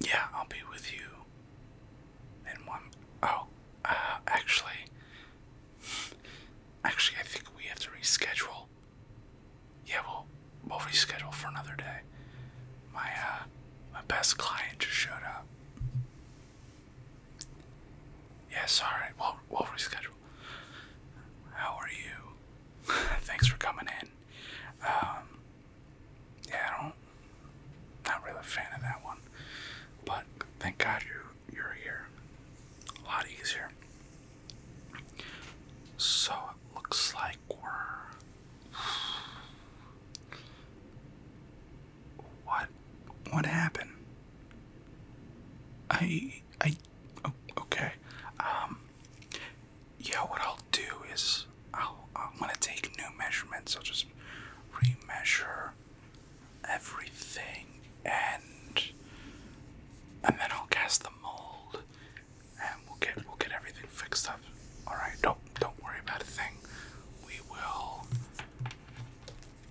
Yeah, I'll be with you in one. Oh, uh, actually. Actually, I think we have to reschedule. Yeah, well, we'll reschedule for another day. My, uh, my best client just showed up. Yes, alright, we'll, we'll reschedule. How are you? Thanks for coming in. Um, yeah, I don't. Not really a fan of that one, but thank God you you're here. A lot easier. So it looks like we're. What? What happened? I I. Oh, okay. Um. Yeah, what I'll do is I'll, I'm gonna take new measurements. I'll just re-measure everything, and and then I'll cast the mold, and we'll get we'll get everything fixed up. All right, don't don't worry about a thing. We will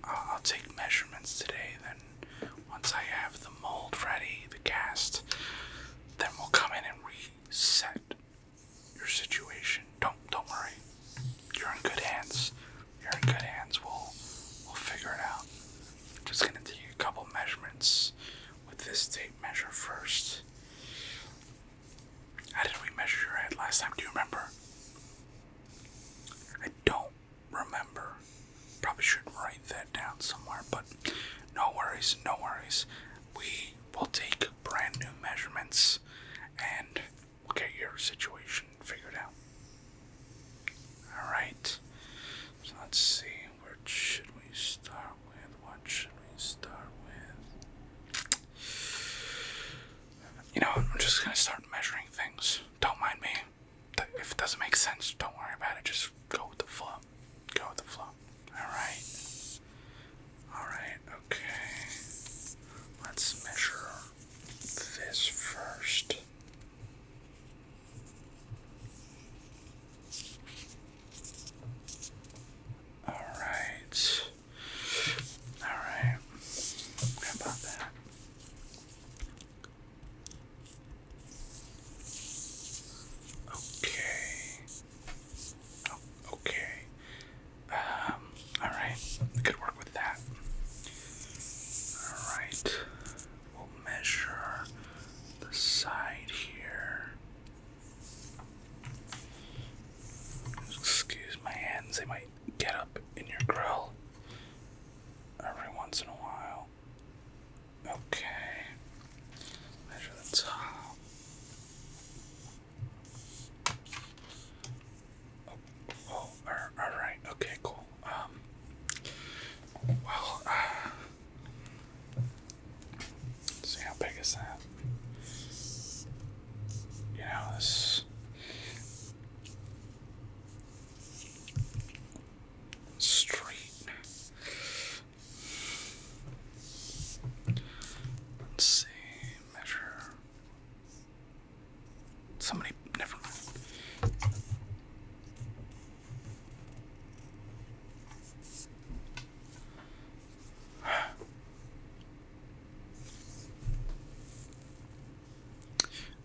uh, I'll take measurements today. Then once I have the mold ready, the cast, then we'll come in and reset your situation. Don't don't worry. You're in good hands. You're in good hands. We'll we'll figure it out. just gonna take a couple measurements with this tape measure first. How did we measure your head last time? Do you remember? I don't remember. Probably should write that down somewhere, but no worries, no worries we will take brand new measurements and we'll get your situation figured out. Alright, so let's see, where should we start with? What should we start with? You know, I'm just gonna start measuring things. Don't mind me. If it doesn't make sense, don't worry about it. Just go with the flow. Go with the flow. Alright. Alright, okay. Let's measure this first. Alright. Alright. about that? Okay. Oh, okay. Um, alright. We work with that. Alright. We'll measure the side here. Excuse my hands, they might get up in your grill every once in a while. Okay. Measure the top. Oh, all right. Okay, cool. Um. Well, uh, see how big is that? You know Let's see, measure. Somebody, never mind.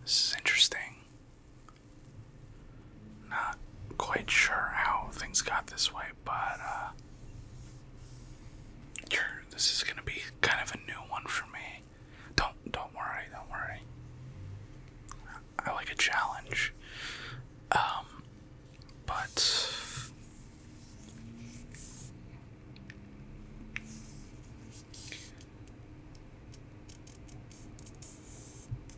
This is interesting. Not quite sure how things got this way, but uh, you're, this is gonna be kind of a new one for me. Don't don't worry, don't worry. I like a challenge. Um, but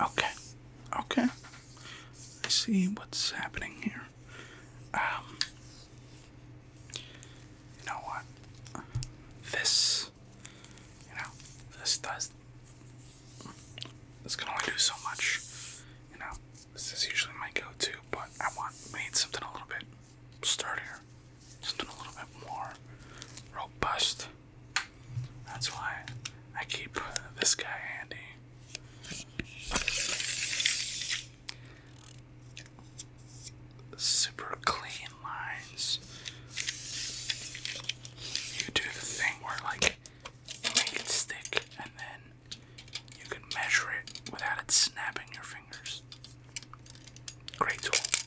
Okay. Okay. I see what's happening here. Um, you know what? This you know, this does this can only do so much. You know, this is usually my go to, but I want I need something a little bit sturdier something a little bit more robust. That's why I keep this guy handy. Super clean lines. You do the thing where, like, make it stick and then you can measure it without it snapping your fingers. Great tool.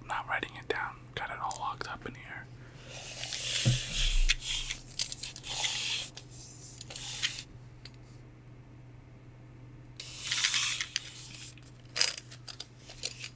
I'm not writing it down. Got it all locked up in here.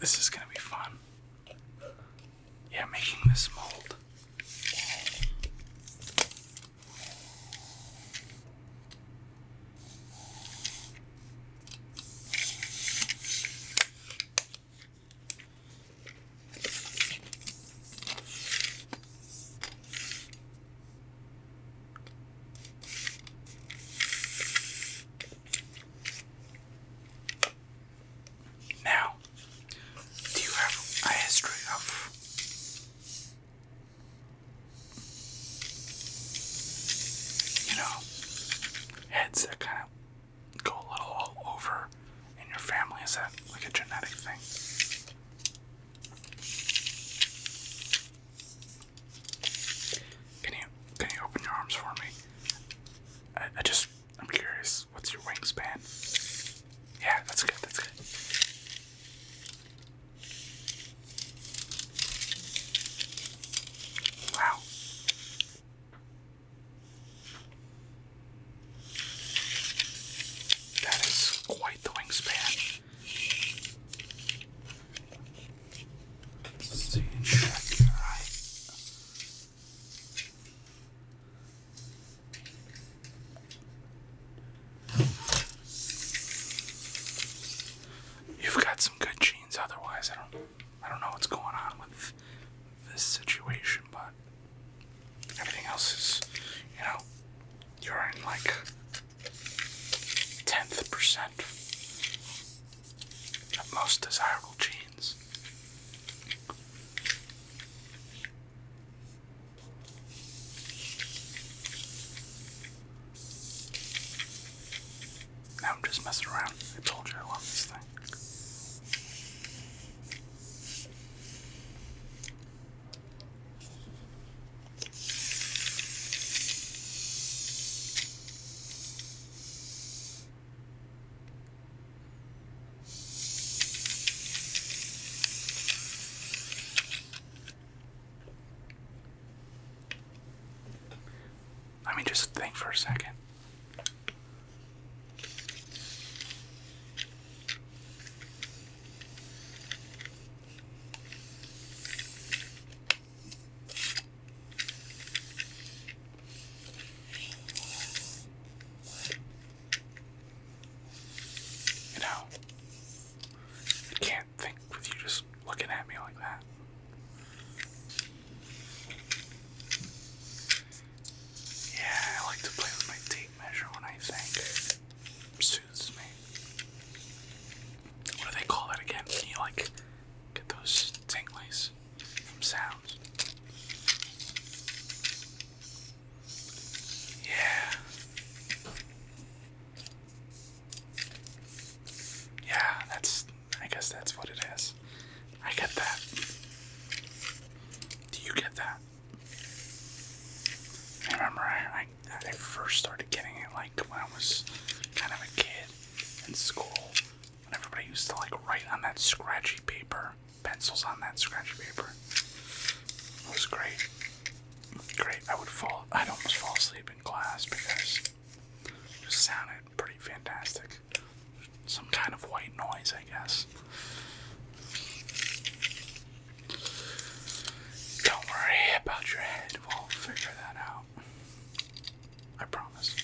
This is gonna be fun. Yeah, making this mold. Now, do you have a history of you know heads that kind of go a little all over in your family? Is that like a genetic thing? Can you can you open your arms for me? I, just I'm curious. What's your wingspan? Yeah, that's good. That's good. Wow. That is quite the wingspan see, You've got some good genes, otherwise I don't I don't know what's going on with this situation, but everything else is you know, you're in like tenth percent of most desirable genes. Now I'm just messing around. I told you I love this thing. Let me just think for a second. You know, I can't think with you just looking at me like that. Yeah, I like to play with my tape measure when I think. Soothes me what do they call that again? you like get those tinglies from sounds? Yeah. Yeah, that's I guess that's what it is. I get that. Do you get that? I remember I, first started getting it when I was kind of a kid in school, when everybody used to like write on that scratchy paper, pencils on that scratchy paper. It was great. Great. I would fall. I'd almost fall asleep in class because it just sounded pretty fantastic. Some kind of white noise, I guess. Don't worry about your head. We'll figure that out. I promise.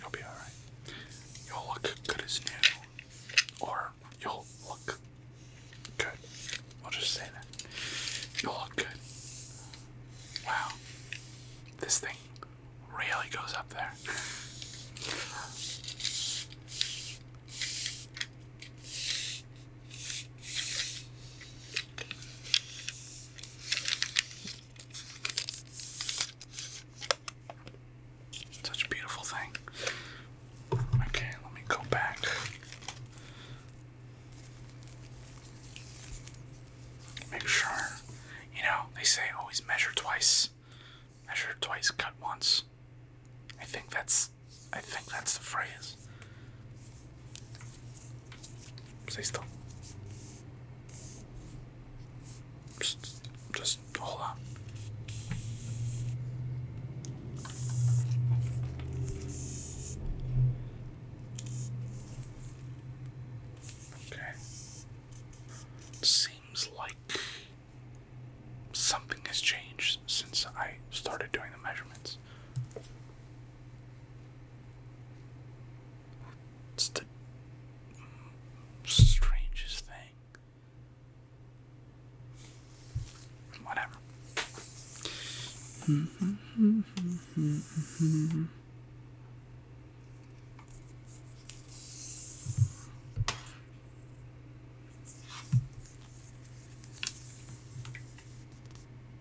You'll be alright. You'll look good as new. Or you'll look good. We'll just say that. You'll look good. Wow. This thing really goes up there. Such a beautiful thing. Okay, let me go back. Make sure. You know, they say always measure twice. Measure twice, cut once. I think that's I think that's the phrase. Stay still. Just, just hold on. Okay. Seems like something has changed since I started doing the measurements. It's the strangest thing. Whatever.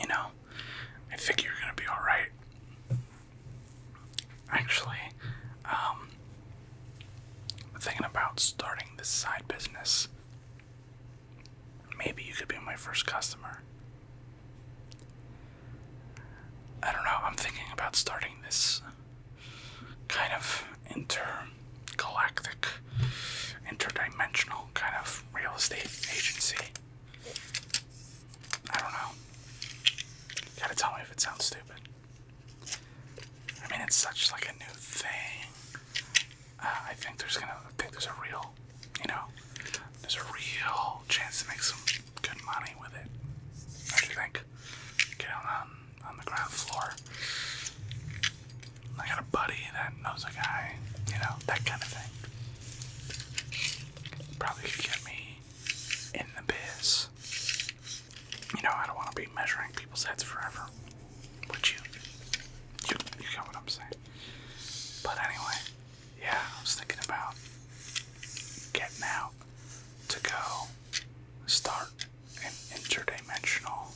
You know, I think you're gonna be alright. Actually, um, I'm thinking about starting this side business. Maybe you could be my first customer. I don't know, I'm thinking about starting this kind of intergalactic, interdimensional kind of real estate agency. I don't know. gotta tell me if it sounds stupid. I mean, it's such like a new thing. Uh, I think there's gonna, I think there's a real, you know, there's a real chance to make some good money with it. do you think? Get um, on the ground floor. I got a buddy that knows a guy, you know, that kind of thing. Probably could get me in the biz. You know, I don't want to be measuring people's heads forever. Would you? You, you get what I'm saying. But anyway, yeah, I was thinking about getting out to go start an interdimensional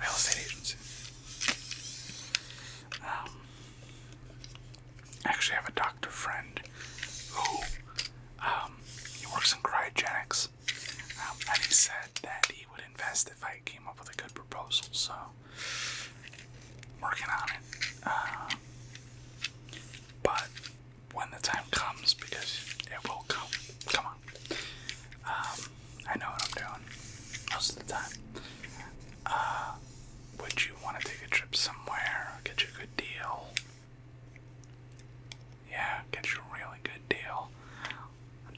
real estate agency. Um, I actually have a doctor friend who um, he works in cryogenics, um, and he said that he would invest if I came up with a good proposal. So, working on it. Uh, but when the time comes, because it will come. Come on. Um, I know what I'm doing most of the time. Uh, would you want to take a trip somewhere? Get you a good deal? Yeah, get you a really good deal.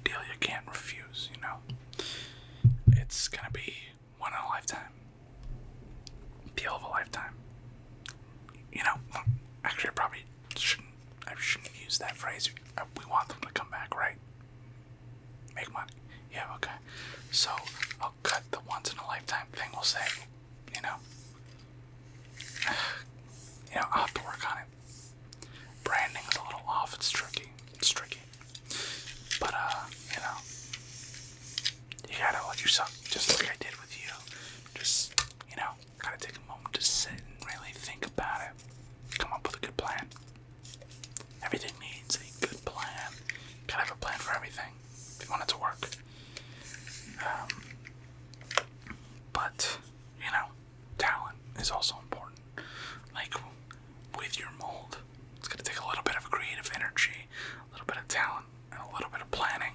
deal you can't refuse, you know? It's gonna be one in a lifetime. Deal of a lifetime you know, actually, I probably should I shouldn't use that phrase. Uh, we want them to come back, right? Make money. Yeah, okay. So I'll cut the once in a lifetime thing. We'll say, you know, you know, i have to work on it. Branding is a little off. It's tricky. It's tricky. But uh, you know, you gotta let yourself, just like I did with you, just, you know, gotta take a moment to sit and really think about it. Come up with a good plan. Everything needs a good plan. Gotta have a plan for everything if you want it to work. Um, but, you know, talent is also important. Like, with your mold, it's gonna take a little bit of creative energy, a little bit of talent, and a little bit of planning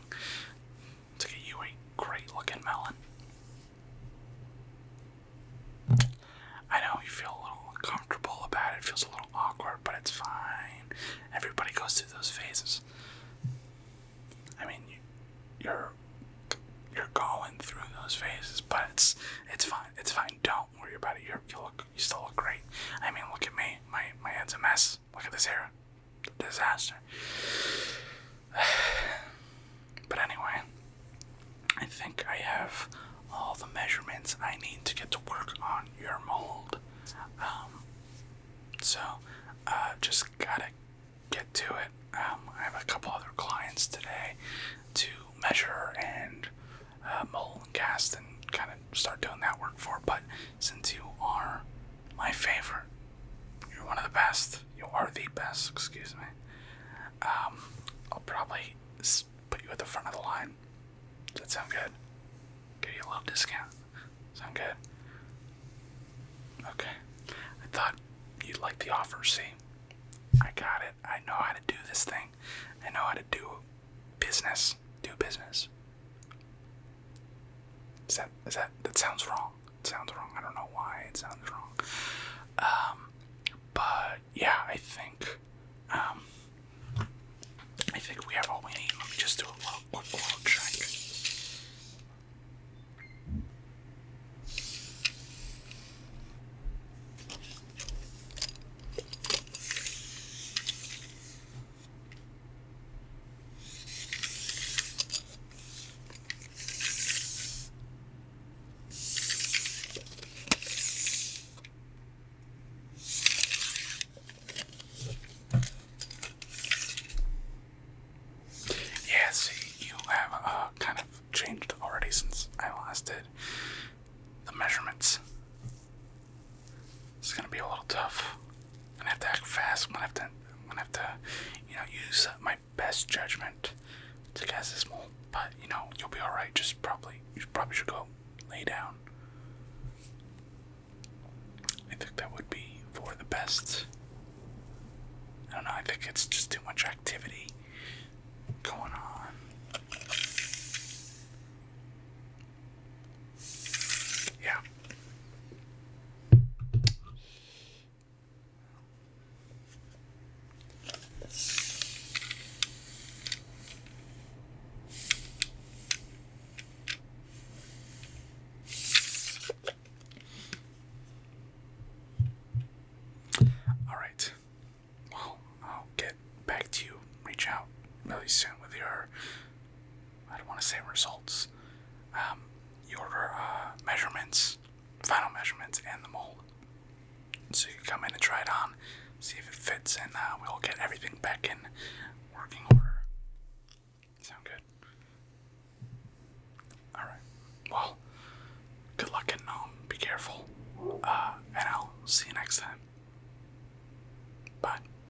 to you a great looking melon. I know you feel a little uncomfortable about it, feels a little awkward, but it's fine. Everybody goes through those phases. I mean, you, are you're going through those phases, but it's it's fine. It's fine. Don't worry about it. You're, you look you still look great. I mean, look at me. My my head's a mess. Look at this hair. Disaster. But anyway, I think I have all the measurements I need to get to work on your mold. Um, so, uh, just gotta get to it. Um, I have a couple other clients today to measure and uh, mold and cast and kind of start doing that work for, but since you are my favorite. You're one of the best. You are the best, excuse me. Um, I'll probably put you at the front of the line. Does that sound good? Give you a little discount. Sound good? Okay. I thought you'd like the offer, see? I got it. I know how to do this thing. I know how to do business. Do business. Is that is that that sounds wrong? sounds wrong. I don't know why it sounds wrong. Um, but yeah, I think um, I think we have all we need. Let me just do a little quick little check. Yeah, see, you have uh, kind of changed already since I last did the measurements. It's gonna be a little tough. I'm gonna have to act fast. I'm gonna have to, gonna have to, you know, use my best judgment to guess this mole. But you know, you'll be all right. Just probably, you probably should go lay down. I think that would be for the best. I don't know. I think it's just too much activity going on. Yeah. All right. I'll get back to you. Reach out really soon with your I don't want to say results. Um, you order uh, measurements, final measurements, and the mold. So you come in and try it on, see if it fits, and uh, we'll get everything back in working order. Sound good? Alright. Well, good luck getting home. Um, be careful. Uh, and I'll see you next time. Bye.